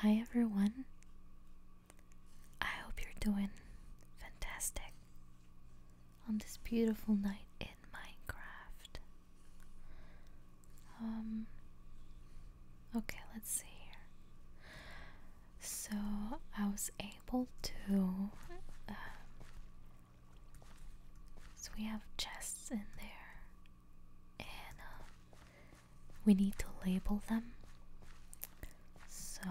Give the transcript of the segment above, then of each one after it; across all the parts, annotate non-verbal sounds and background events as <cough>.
Hi everyone. I hope you're doing fantastic on this beautiful night in Minecraft. Um okay, let's see here so I was able to. Um, so we have chests in there, and uh, we need to label them. So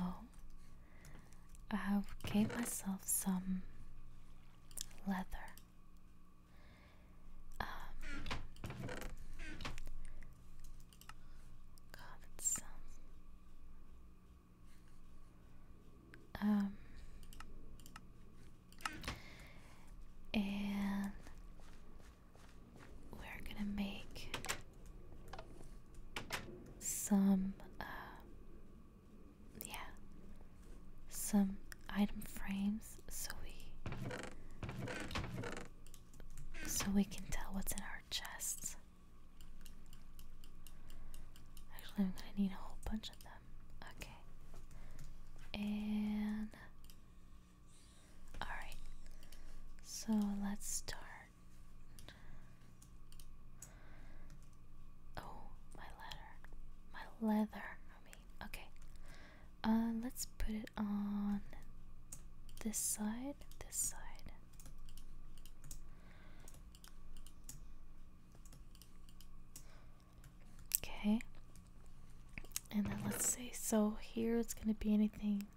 I gave myself some leather. Um, God, it sounds um, and we're gonna make some, uh, yeah, some item frames so we so we can tell what's in our chests. Actually, I'm gonna need a whole bunch of them. Okay. And. Alright. So let's start. Oh, my leather. My leather, I mean. Okay. Uh, let's put it on this side, this side. Okay. And then let's see. So here it's going to be anything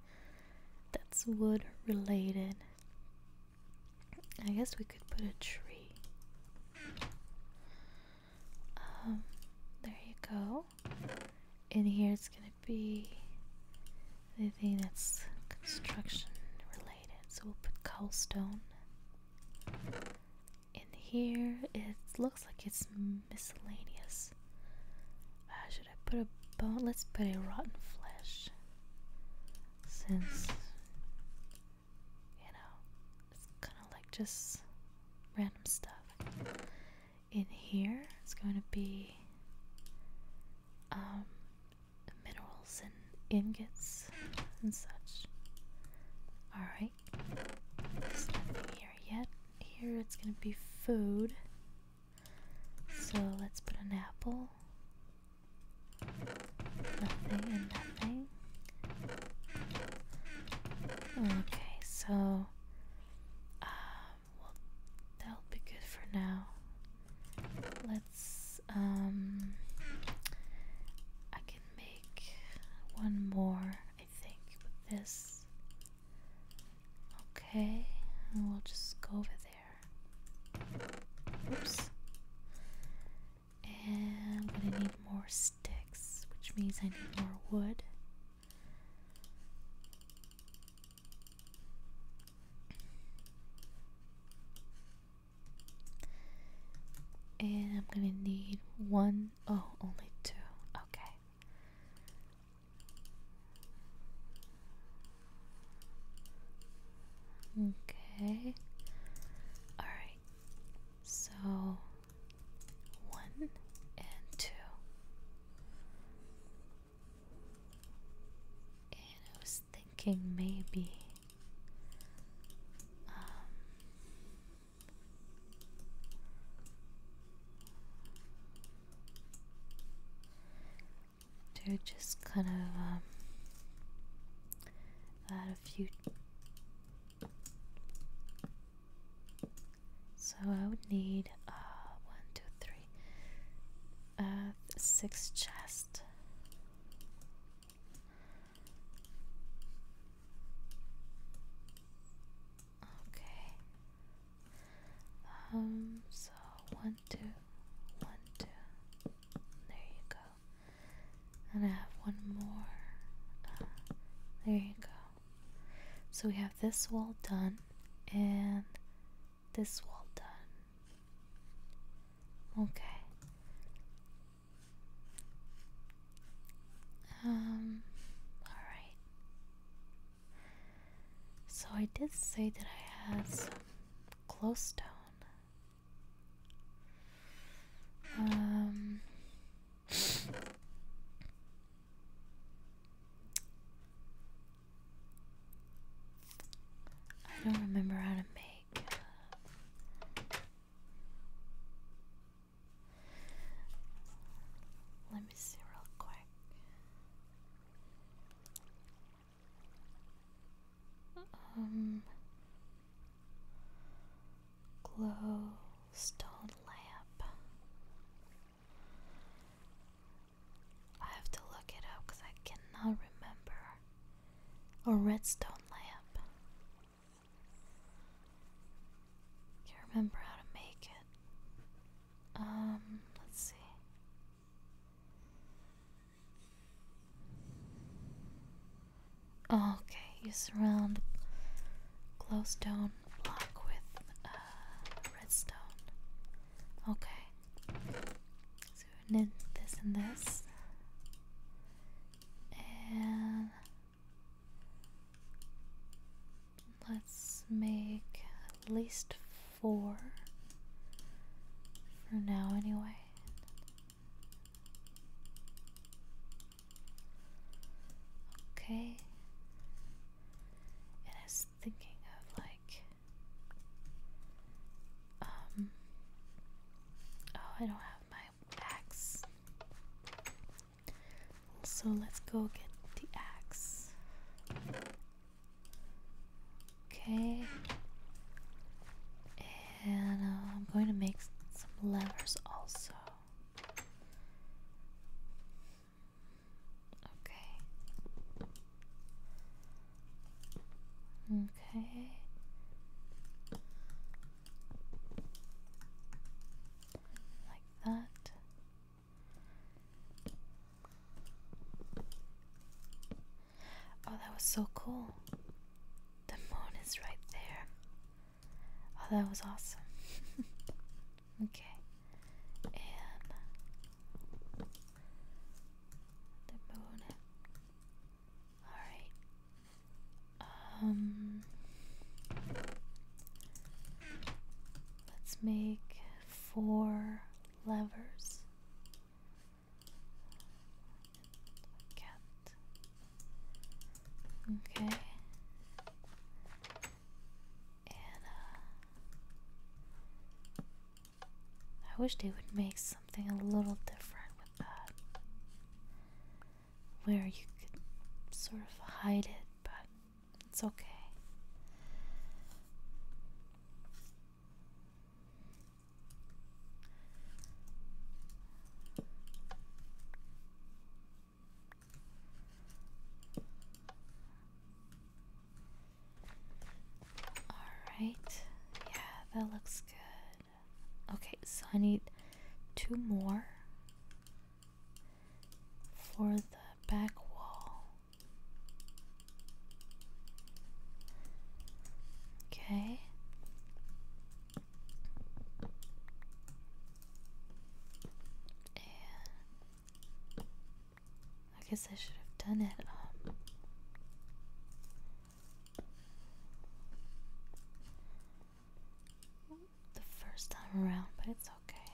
that's wood related. I guess we could put a tree. Um, there you go. And here it's going to be anything that's construction related. So we'll put coalstone in here. It looks like it's miscellaneous. Uh, should I put a bone? Let's put a rotten flesh. Since, you know, it's kind of like just random stuff. In here, it's going to be um, minerals and ingots and such. Alright. There's nothing here yet. Here it's gonna be food. So let's put an apple. Nothing nothing. Okay, so um, that'll be good for now. Let's um I can make one more I think with this okay and we'll just go over there oops and i need more sticks which means I need more wood and I'm gonna need one. Oh, only two. Okay. Okay. Alright. So, one and two. And it was thinking maybe um, to just kind of um, add a few. So I would need uh, one, two, three, uh, six chests. Okay. Um, so one, two, one, two. There you go. And I have one more. there you go. So we have this wall done, and this wall done. Okay. Um, alright. So I did say that I had some glowstone. Um, I don't remember how to make. Uh, let me see real quick. Um, glow stone lamp. I have to look it up because I cannot remember. A redstone lamp. Can't remember how to make it. Um, let's see. okay, you surround glowstone block with uh, redstone. Okay. So we need this and this. And let's make at least four for now, anyway. Okay. And I was thinking of like um. Oh, I don't have my axe. So let's go get the axe. Okay. And uh, I'm going to make some levers also. Okay. Okay. Like that. Oh, that was so cool. The moon is right there. Oh, that was awesome. <laughs> okay. And the moon. Alright. Um let's make four levers. Cat. Okay. And uh, I wish they would make something a little different with that. Where you could sort of hide it, but it's okay. Alright. Yeah, that looks good. Okay, so I need two more for the back wall. Okay. I guess I should have done it. Um. the first time around, but it's okay.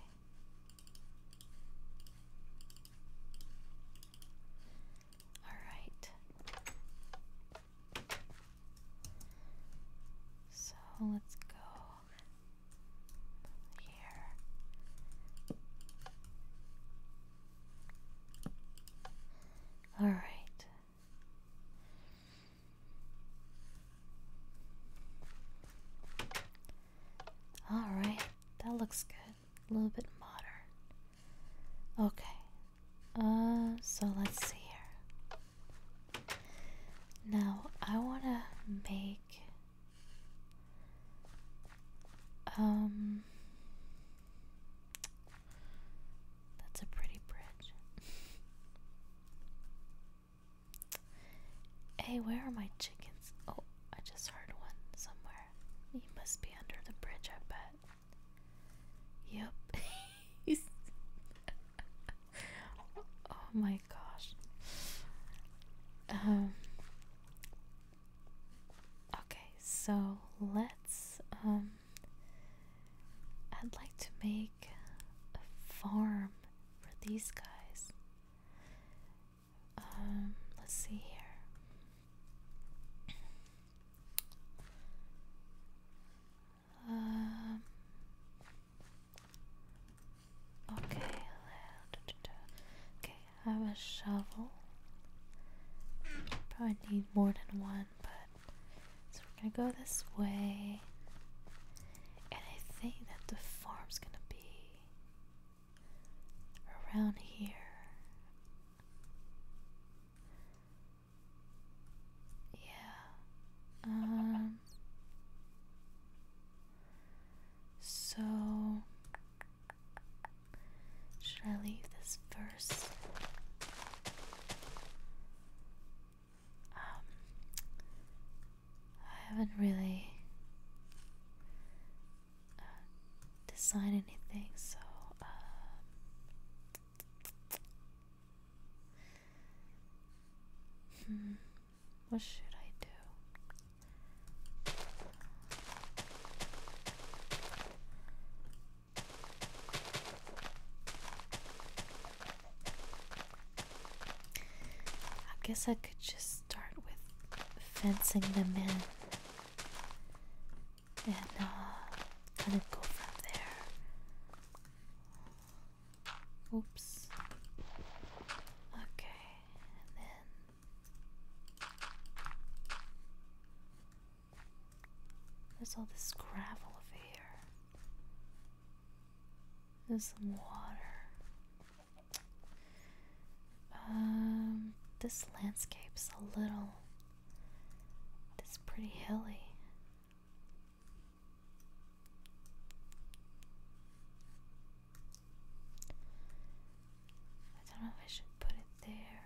Alright. So let's go here. All right. All right. That looks good. A little bit modern. Okay. Uh so let's see here. Now I want to make um, that's a pretty bridge. <laughs> hey, where are my chickens? Oh, I just heard one somewhere. He must be under the bridge, I bet. Yep. <laughs> oh my gosh. Um, Okay, so let's um I'd like to make a farm for these guys. Um let's see here. Um Okay, okay, have a shovel. Probably need more than one, but so we're gonna go this way. And I think that the farm's gonna be around here. Yeah. Um so should I leave this first? Um, I haven't really uh, designed anything, so um, hmm, what should I do? I guess I could just start with fencing them in and uh, kind of go from there. Oops. Okay, and then there's all this gravel over here. There's some water. Um, this landscape's a little. It's pretty hilly. I don't know if I should put it there.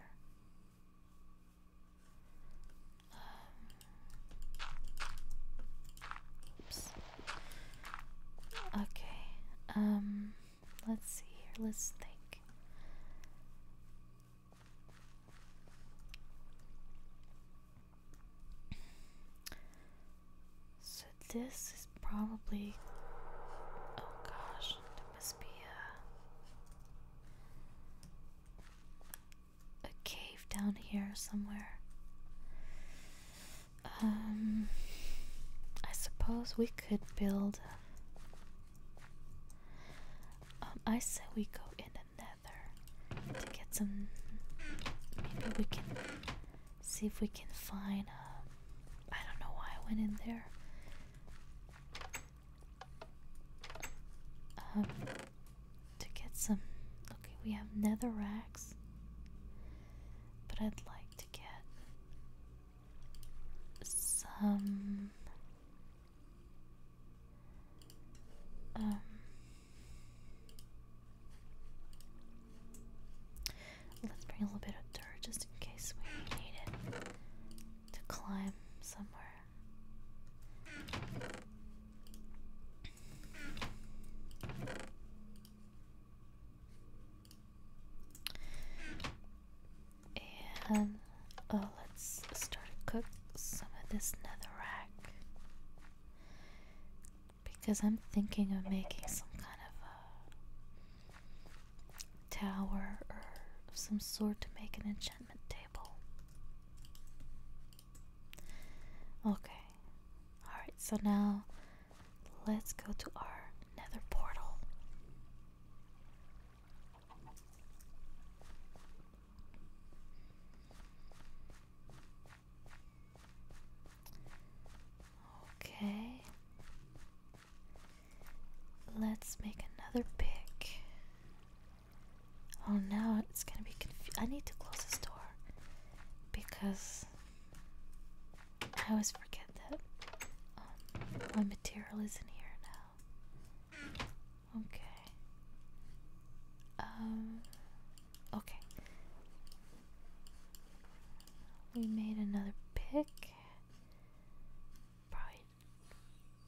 Um, okay. Um, let's see here. Let's think. So this is probably. Oh gosh, must be a, a cave down here somewhere. Um, I suppose we could build. Um, I say we go in the nether to get some. Maybe we can see if we can find. Um, I don't know why I went in there. Um, to get some. Okay, we have nether racks, but I'd like to get some. Um, Let's bring a little bit of dirt just in case we need it to climb somewhere. And oh, let's start to cook some of this netherrack because I'm thinking of making some kind of a uh, tower or of some sort to make an enchantment table. Okay. Alright, so now let's go to our nether portal. Okay. Let's make another pick. Oh, no, it's gonna be confused. I need to close this door because I always forget that um, my material is not here now. Okay. Um. Okay. We made another pick. Probably.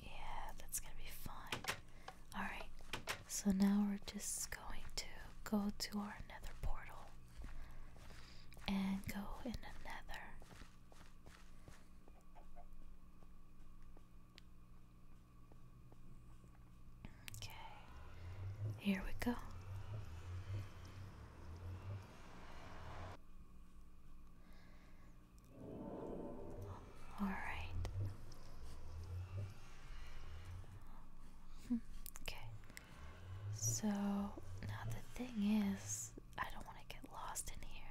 Yeah, that's gonna be fun. Alright, so now we're just going to go to our nether portal and go in the nether. Okay, here we go. All right. Hmm, okay. So now the thing is, I don't want to get lost in here.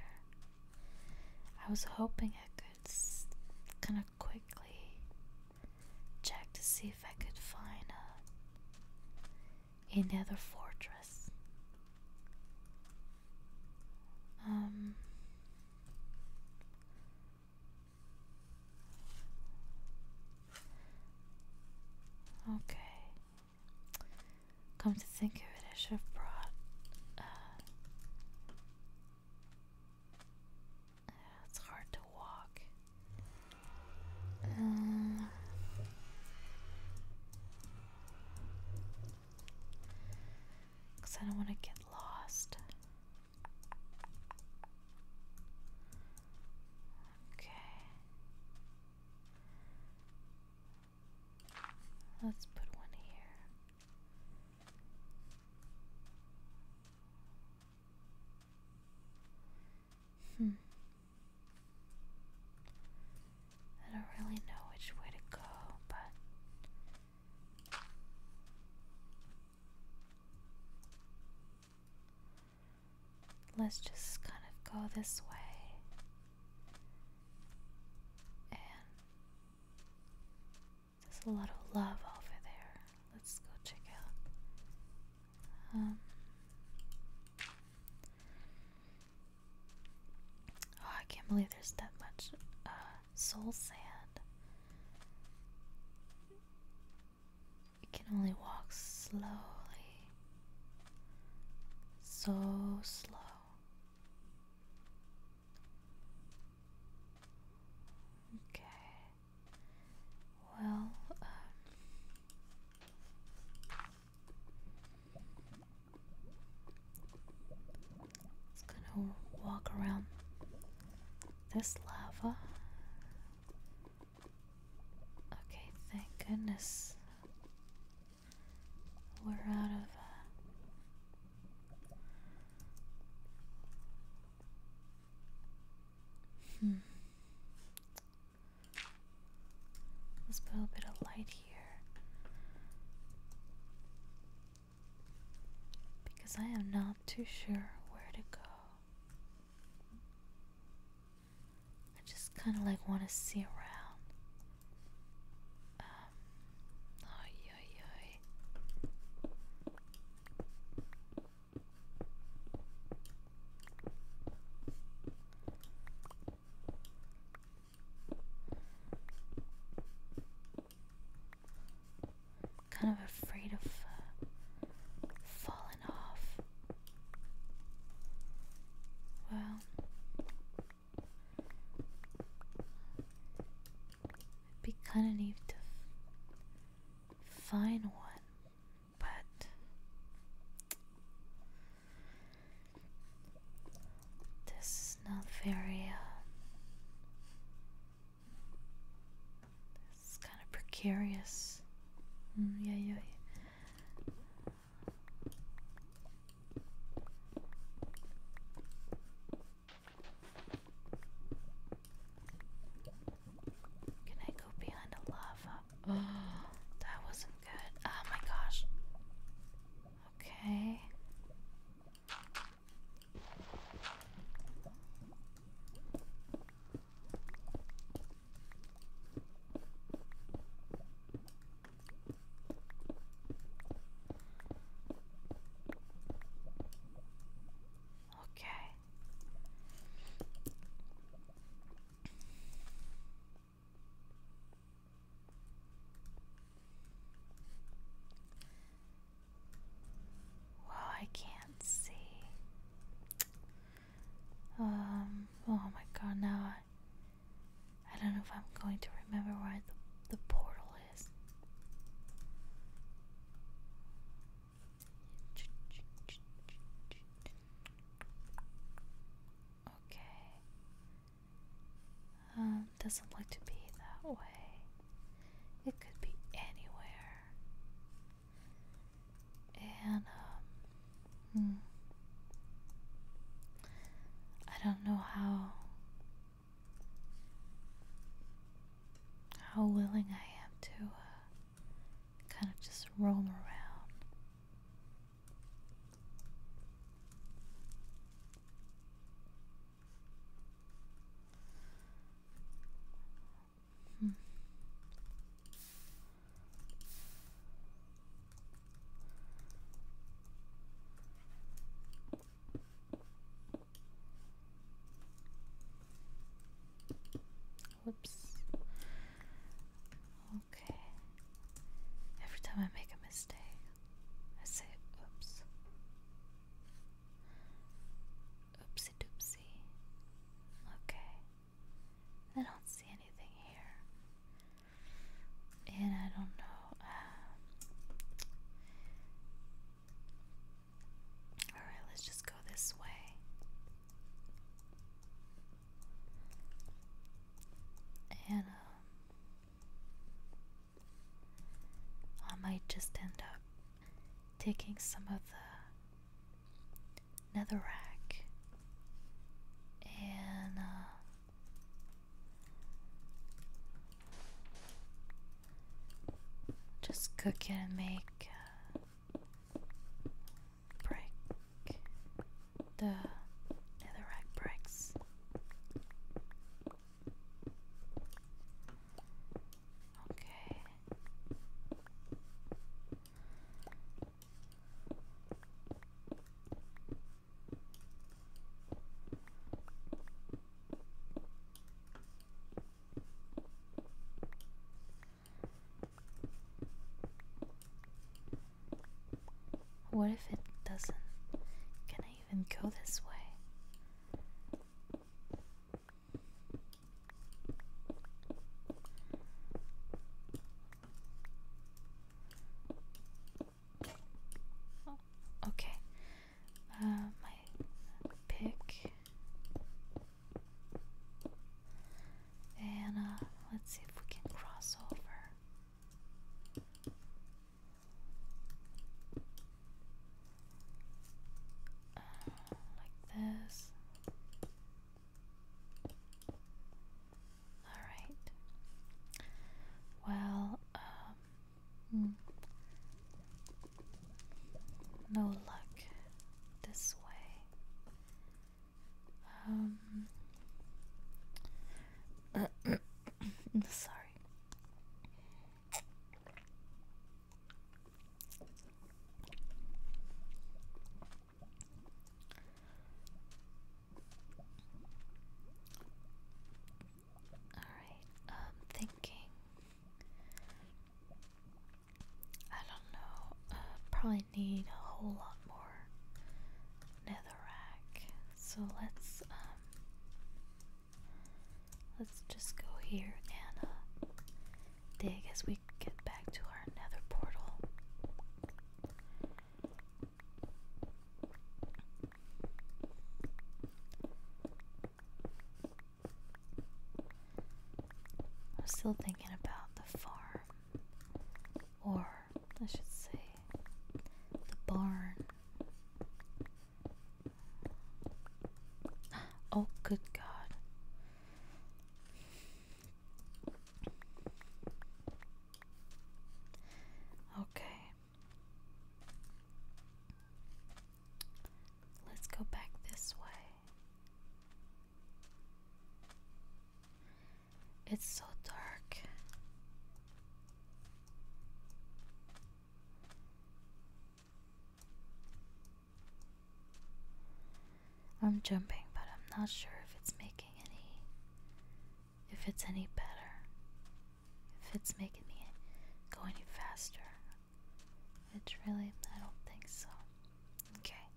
I was hoping I could kind of quickly check to see if I could find a another fortress. Um, okay. Come to think of it, I should have brought. Uh, it's hard to walk. Um, because I don't want to get lost. Okay. Let's put one here. Hmm. I don't really know which way to go, but let's just kind of go this way and there's a lot of love over there let's go check out um, Oh, I can't believe there's that much uh, soul sand. You can only walk slowly. So slow. Okay. Well, um, it's gonna walk around this lava. Okay, thank goodness we're out of. Uh, hmm. Let's put a bit of light here. Because I am not too sure where to go. I just kind of like want to see around. Um, oh, yoy, yoy. Kind of afraid of uh, falling off. Well, it'd be kind of neat to find one, but this is not very. Uh, this is kind of precarious. Mm, yeah, yeah, yeah. Can I go behind the lava? Oh, <sighs> that wasn't good. Oh my gosh. Okay. Okay. Well, I can't see. Um. Oh my God! Now I, I don't know if I'm going to remember where the, the portal is. Okay. Um, doesn't look to be that way. It could be anywhere. And, um, hmm. I don't know how how willing I am to uh, kind of just roam around Hmm. Whoops. Okay. Every time I make a mistake, I say oops. Oopsie doopsie. Okay. I don't see anything here. And I don't know. Um, Alright, let's just go this way. And um, I might just end up taking some of the netherrack and uh, just cook it and make uh, break the netherite bricks. Okay. What if it doesn't? Can I even go this way? Oh, okay. Uh, my pick. And uh, let's see if we can cross over. Uh, like this. Alright. Well, um, hmm. no luck this way. Um, <coughs> sorry. All right, I'm um, thinking. I don't know. Uh, probably I need a whole lot more netherrack. So let's um, let's just go here and uh, dig as we get back to our nether portal. I'm still thinking about the farm or I should say. The barn. <gasps> Oh, good God. Okay. Let's go back this way. It's so dark. I'm jumping, but I'm not sure if it's making any. if it's any better. If it's making me go any faster. It's really. I don't think so. Okay.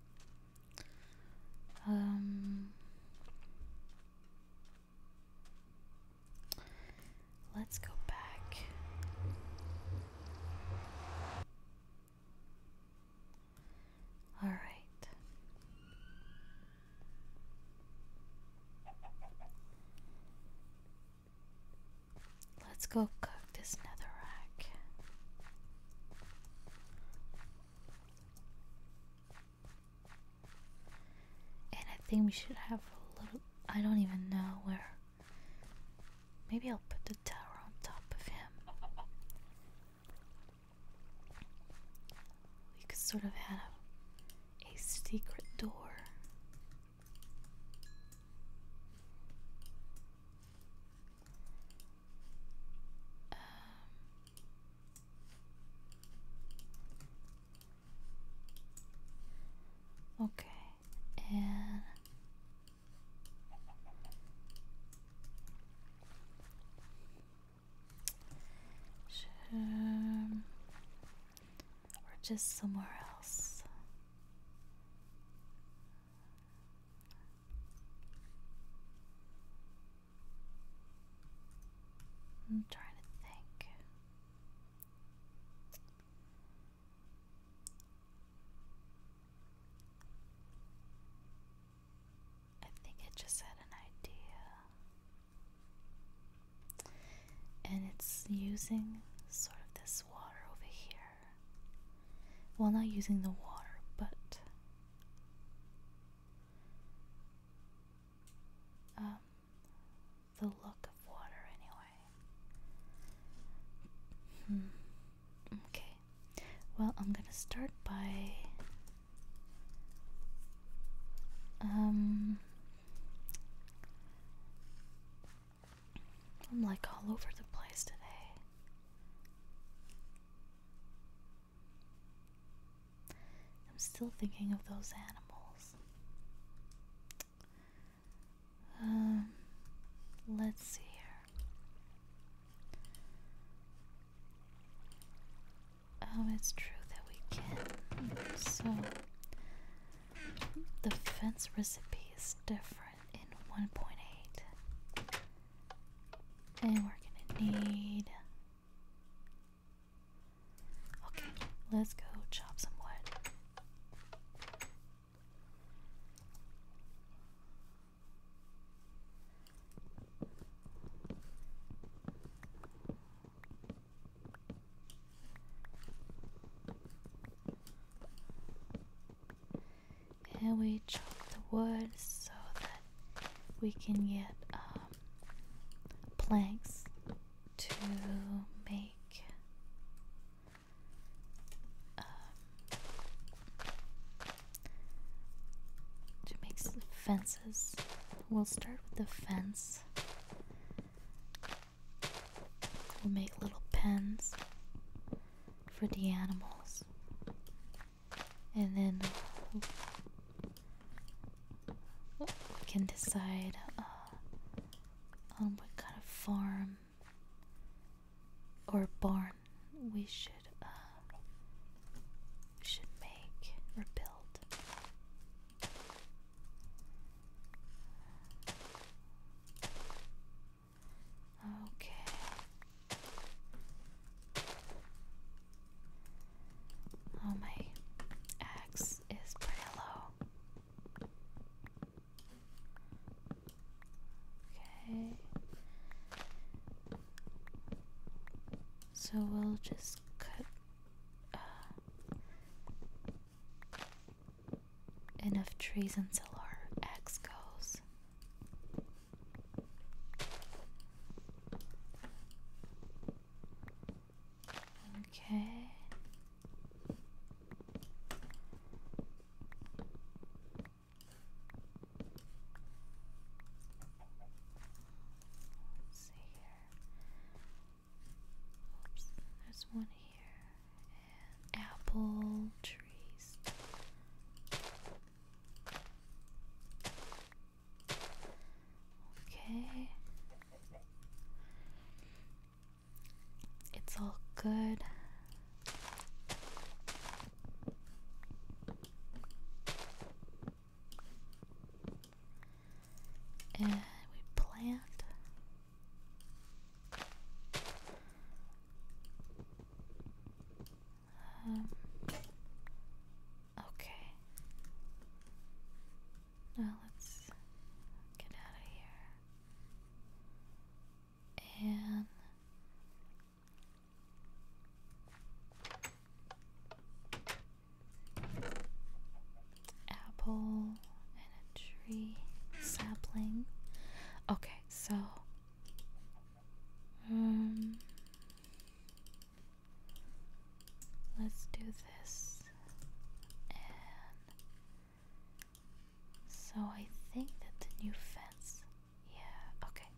Um, let's go back. All right. Let's go cook this netherrack. And I think we should have a little. I don't even know where. Maybe I'll put the tower on top of him. We could sort of have a secret door. Um, Okay, and um, or just somewhere else. I'm trying to think. I think I just had an idea. And it's using sort of this water over here. Well, not using the water, but um, the look of water, anyway. Hmm. Okay. Well, I'm gonna start by. Um. I'm like all over the place today. I'm still thinking of those animals. Um, let's see here. Oh, it's true that we can. So, the fence recipe is different in 1.8. And we're gonna need. Okay, let's go chop some wood and we chop the wood so that we can get um, planks to make um, to make fences. We'll start with the fence. We'll make little pens for the animals and then we can decide uh, on what kind of farm or barn we should uh, we should make or build. Okay. Oh, my axe is pretty low. Okay. So we'll just cut uh, enough trees until our x goes. Okay. see here. Oops, there's one here. apple trees. Okay. It's all good. And we plant. Um, okay. Now let's get out of here. And apple and a tree sapling. Okay, so um Let's do this. so I think that the new fence. Yeah, okay.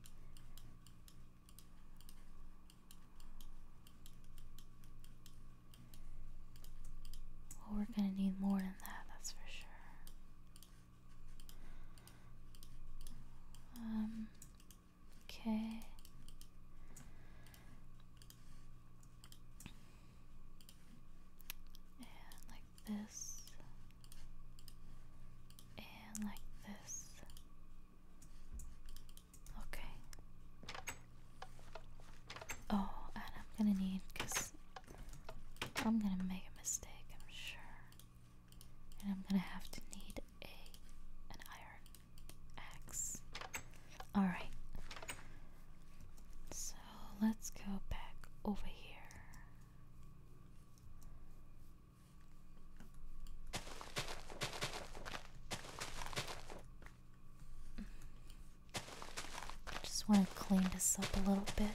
Well, we're gonna need more than that, that's for sure. Um, Okay. And like this. And like this. Okay. Oh, and I'm gonna need, I'm gonna make a mistake, I'm sure. And I'm gonna have to need a an iron axe. Alright. So let's go back over here. just want to clean this up a little bit.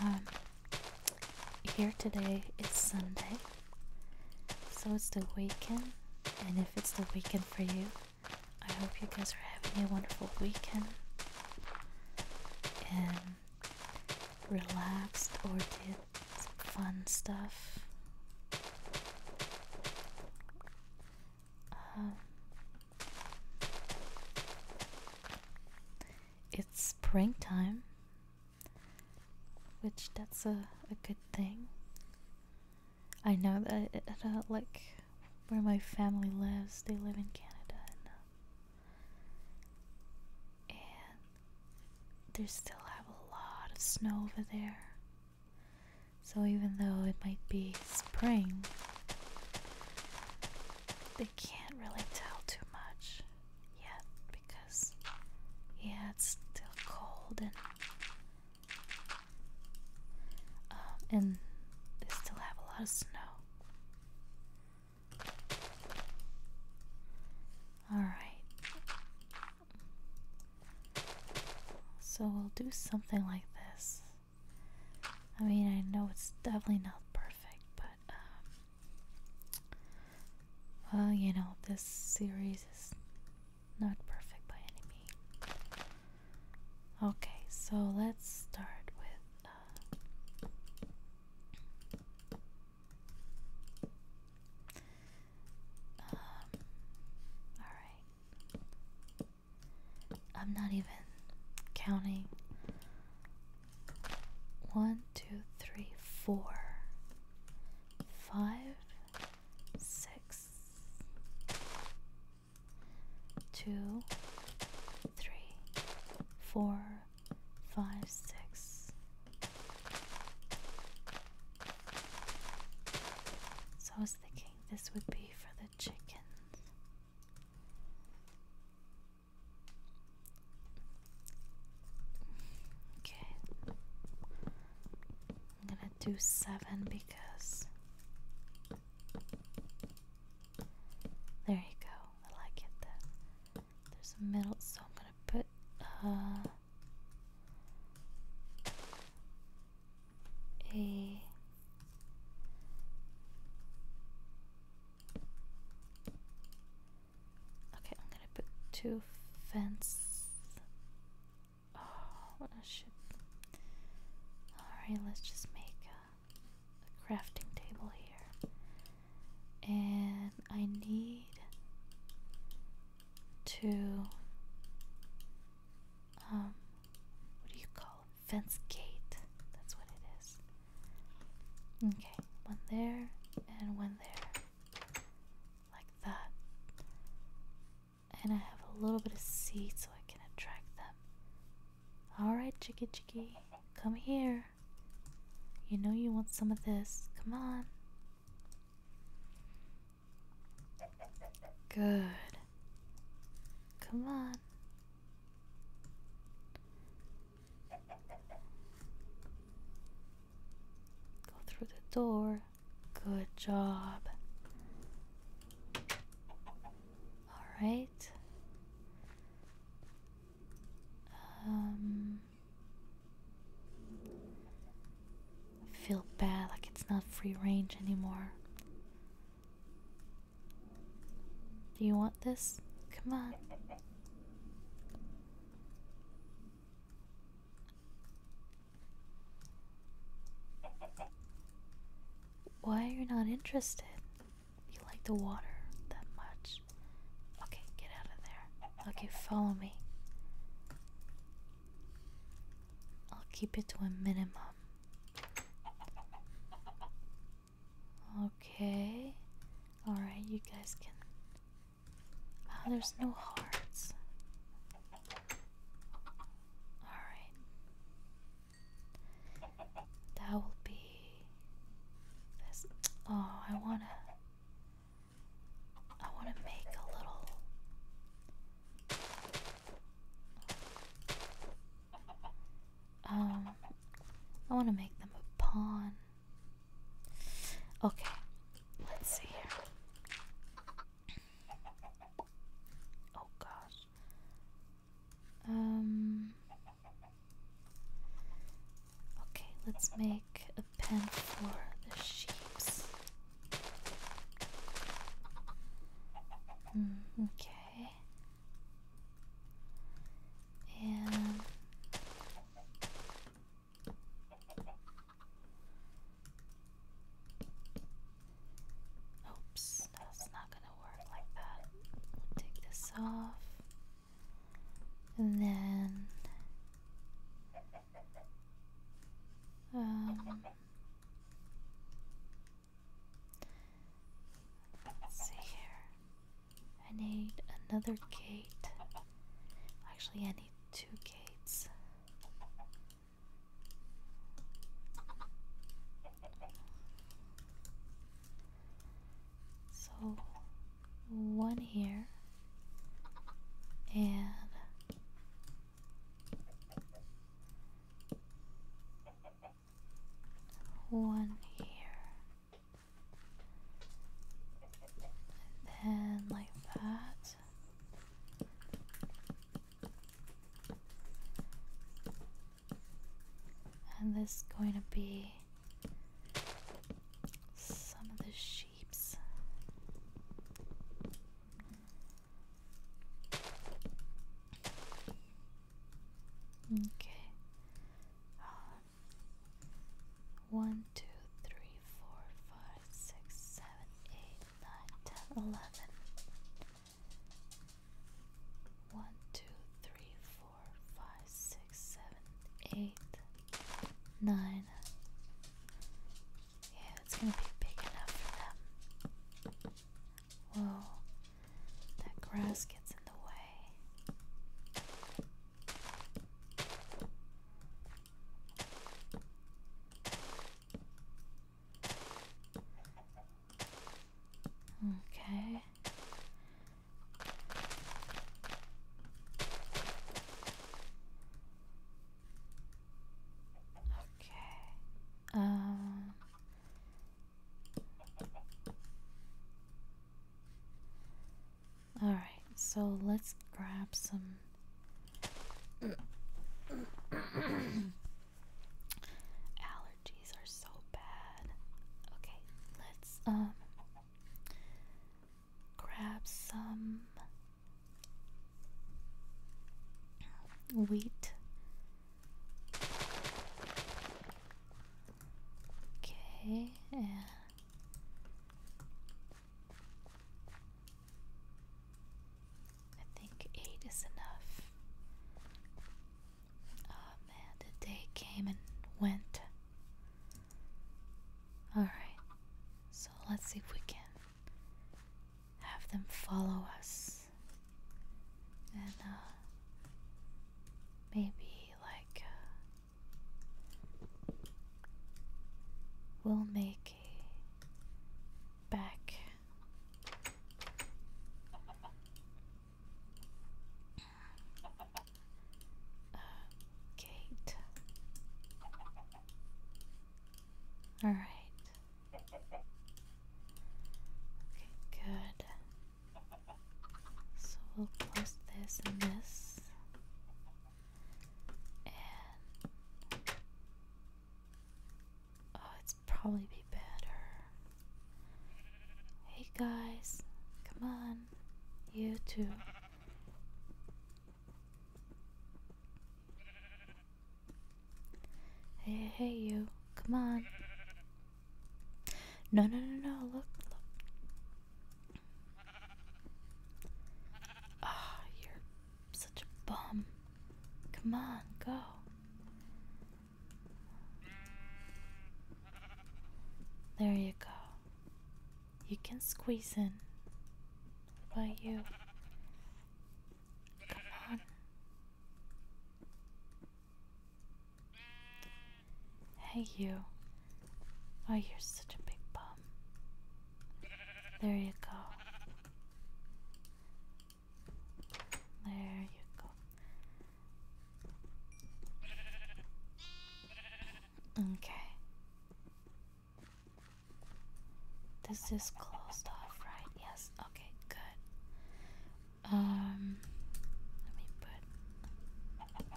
Um, here today is Sunday, so it's the weekend, and if it's the weekend for you, I hope you guys are having a wonderful weekend and relaxed or did fun stuff. Um, it's springtime, which that's a, a good thing. I know that uh, uh, like where my family lives, they live in Canada, and they still have a lot of snow over there. So even though it might be spring, they can't really tell too much yet because, yeah, it's still cold and um, and they still have a lot of snow. All right, so we'll do something like this. I mean, I know it's definitely not perfect, but, um, well, you know, this series is not perfect by any means. Okay, so let's start with, uh, um, alright. I'm not even counting. One, two, three, four, five, six, two, three, four, five, six, so I was thinking this would be for the chickens. Okay. I'm gonna do seven because. There you go. I like it then. There's a middle, so I'm gonna put. Uh, a Okay, I'm gonna put two fences. Oh, what a shit. Alright, let's just make a crafting table here. And I need to um what do you call Fence gate. That's what it is. Okay, one there and one there. Like that. And I have a little bit of seed so I can attract them. Alright, chicky chicky, come here. You know you want some of this. Come on. Good. Come on. Go through the door. Good job. All right. Um feel bad, like it's not free range anymore. Do you want this? Come on. Why are you not interested? You like the water that much. Okay, get out of there. Okay, follow me. I'll keep it to a minimum. Okay. Alright, you guys can. Ah, oh, there's no hearts. Alright. That will be. This. Oh, I wanna. I want to make a little. Um, I want to make them a pawn. Okay, let's see here. Oh gosh. Um. Okay, let's make a pen for the sheeps. Mm, okay. And oops, that's not gonna work like that. We'll take this off. And then um, let's see here. I need another gate. Actually, I need two gates. So, one here and one here, and like that. And this is going to be some of the Okay. Uh, one, two, three, four, five, six, seven, eight, nine, ten, eleven. One, two, three, four, five, six, seven, eight, nine, yeah, it's gonna be big enough for them. Whoa, that grass gets in the way. Okay. Okay. Um all right, so let's grab some Allergies are so bad. Okay, let's um grab some wheat. Okay, and uh, I think eight is enough. Oh man, the day came and went. Alright, so let's see if we can have them follow us. And uh, maybe like uh, we'll make a back uh, gate. All right. Okay, good. So we'll close this and this. And oh, it's probably be better. Hey guys, come on, you too. Hey, hey, you. Come on. No, no, no, no. Look, look. Ah, you're such a bum. Come on, go. There you go. You can squeeze in. What you? Come on. Hey, you. Why oh, you're such a big bum. There you go. There you go. Okay. This is closed off, right? Yes. Okay, good. Um, let me put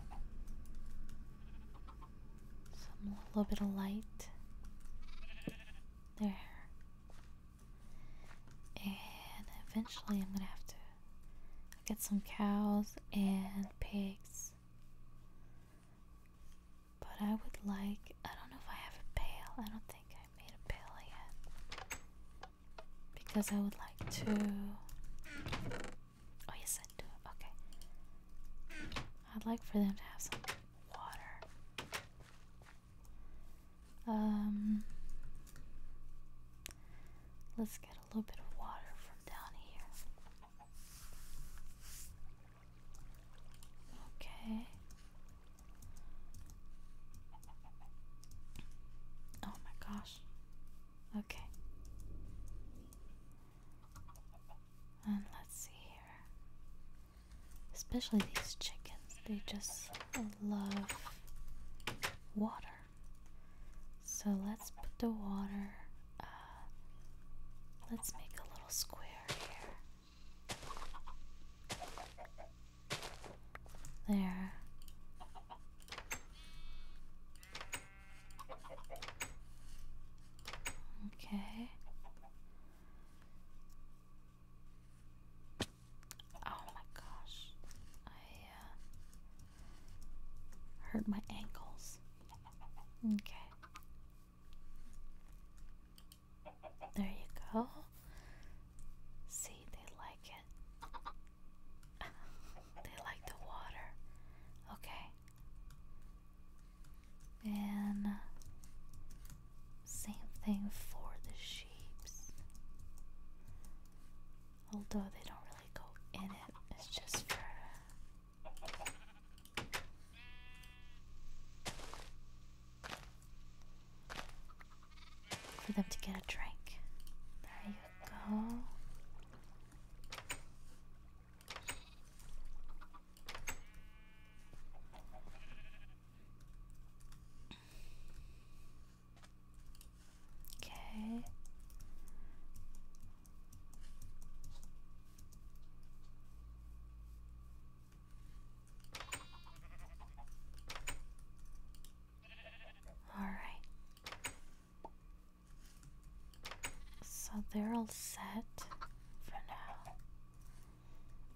some a little bit of light there. And eventually I'm gonna have to get some cows and pigs but I would like, I don't know if I have a pail. I don't think I made a pail yet. Because I would like to. Oh, yes, I do. Okay. I'd like for them to have some water. Um. Let's get a little bit of water from down here. Okay. Oh my gosh. Okay. And let's see here. Especially these chickens, they just love water. So let's put the water uh, let's make a little square here. There. Okay. Oh my gosh. I uh, hurt my ankles. Okay. There you go. See, they like it. <laughs> they like the water. Okay. And same thing for the sheeps. Although they don't really go in it, it's just for for them to get a drink. There you go. Okay. All right. So they're all set for now.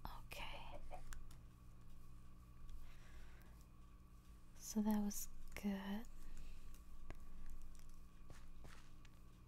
Okay. So that was good.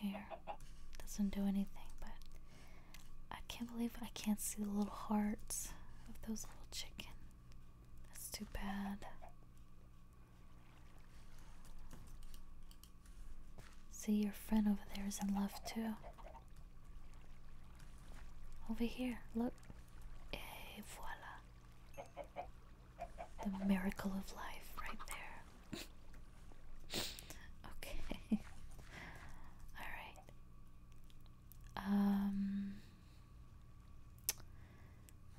Here. Doesn't do anything, but I can't believe I can't see the little hearts of those little chicken. That's too bad. See, your friend over there is in love too. Over here, look. Et voila. The miracle of life right there. <laughs> okay. <laughs> Alright. Um,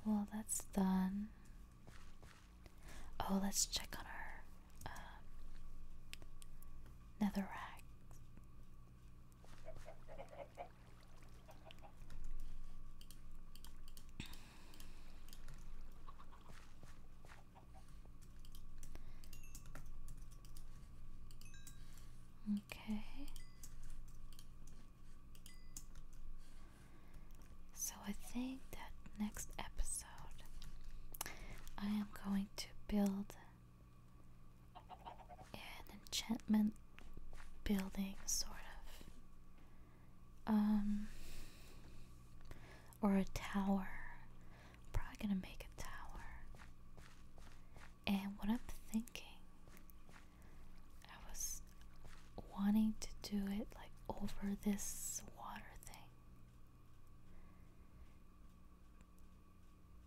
well, that's done. Oh, let's check on our um, netherrack. Okay. So I think that next episode I am going to build an enchantment building, sort of. Um, or a tower. I'm probably gonna make a tower. And what I'm thinking, I was wanting to do it like over this water thing.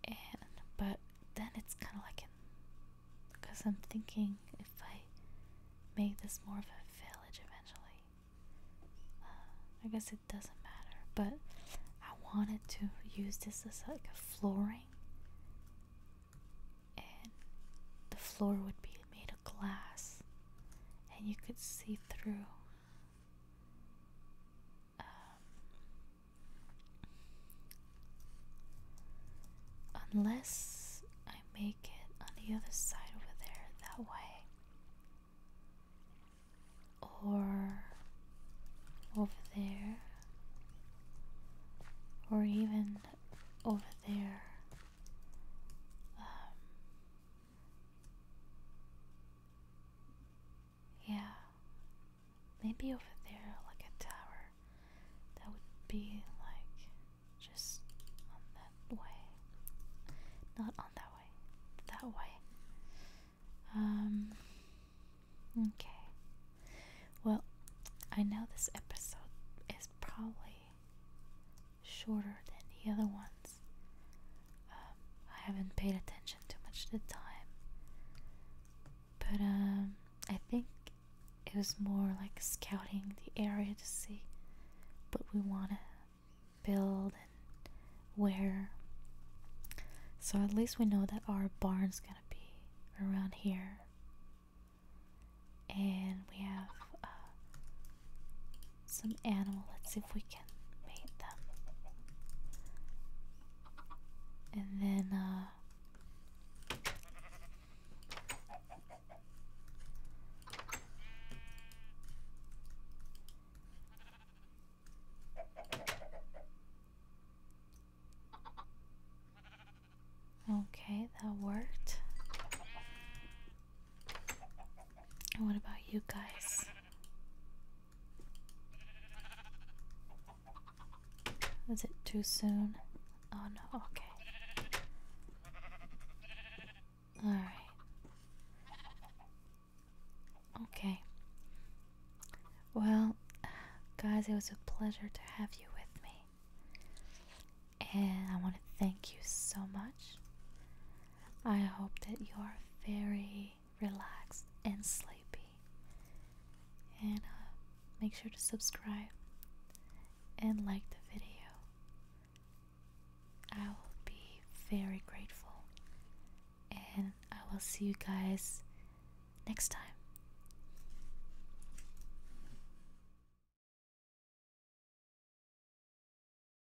And but then it's kind of like, because I'm thinking if I make this more of a village eventually, uh, I guess it doesn't matter. But I wanted to use this as like a flooring, and the floor would be made of glass, and you could see through um, unless I make it on the other side over there that way. Or over there. Or even over there. Um, yeah, maybe over there, like a tower. That would be like just on that way. Not on that way, that way. Um, okay. Well, I know this episode is probably shorter than the other ones. Um, I haven't paid attention too much to the time, but um, I think it was more like scouting the area to see what we want to build and where. So at least we know that our barn's gonna be around here, and we have uh, some animal. Let's see if we can mate them. And then, uh, Okay, that worked. what about you guys? Was it too soon? Oh no, okay. Alright. Okay. Well, guys, it was a pleasure to have you with me. And I want to thank you so much I hope that you are very relaxed and sleepy. And uh, make sure to subscribe and like the video. I will be very grateful. And I will see you guys next time.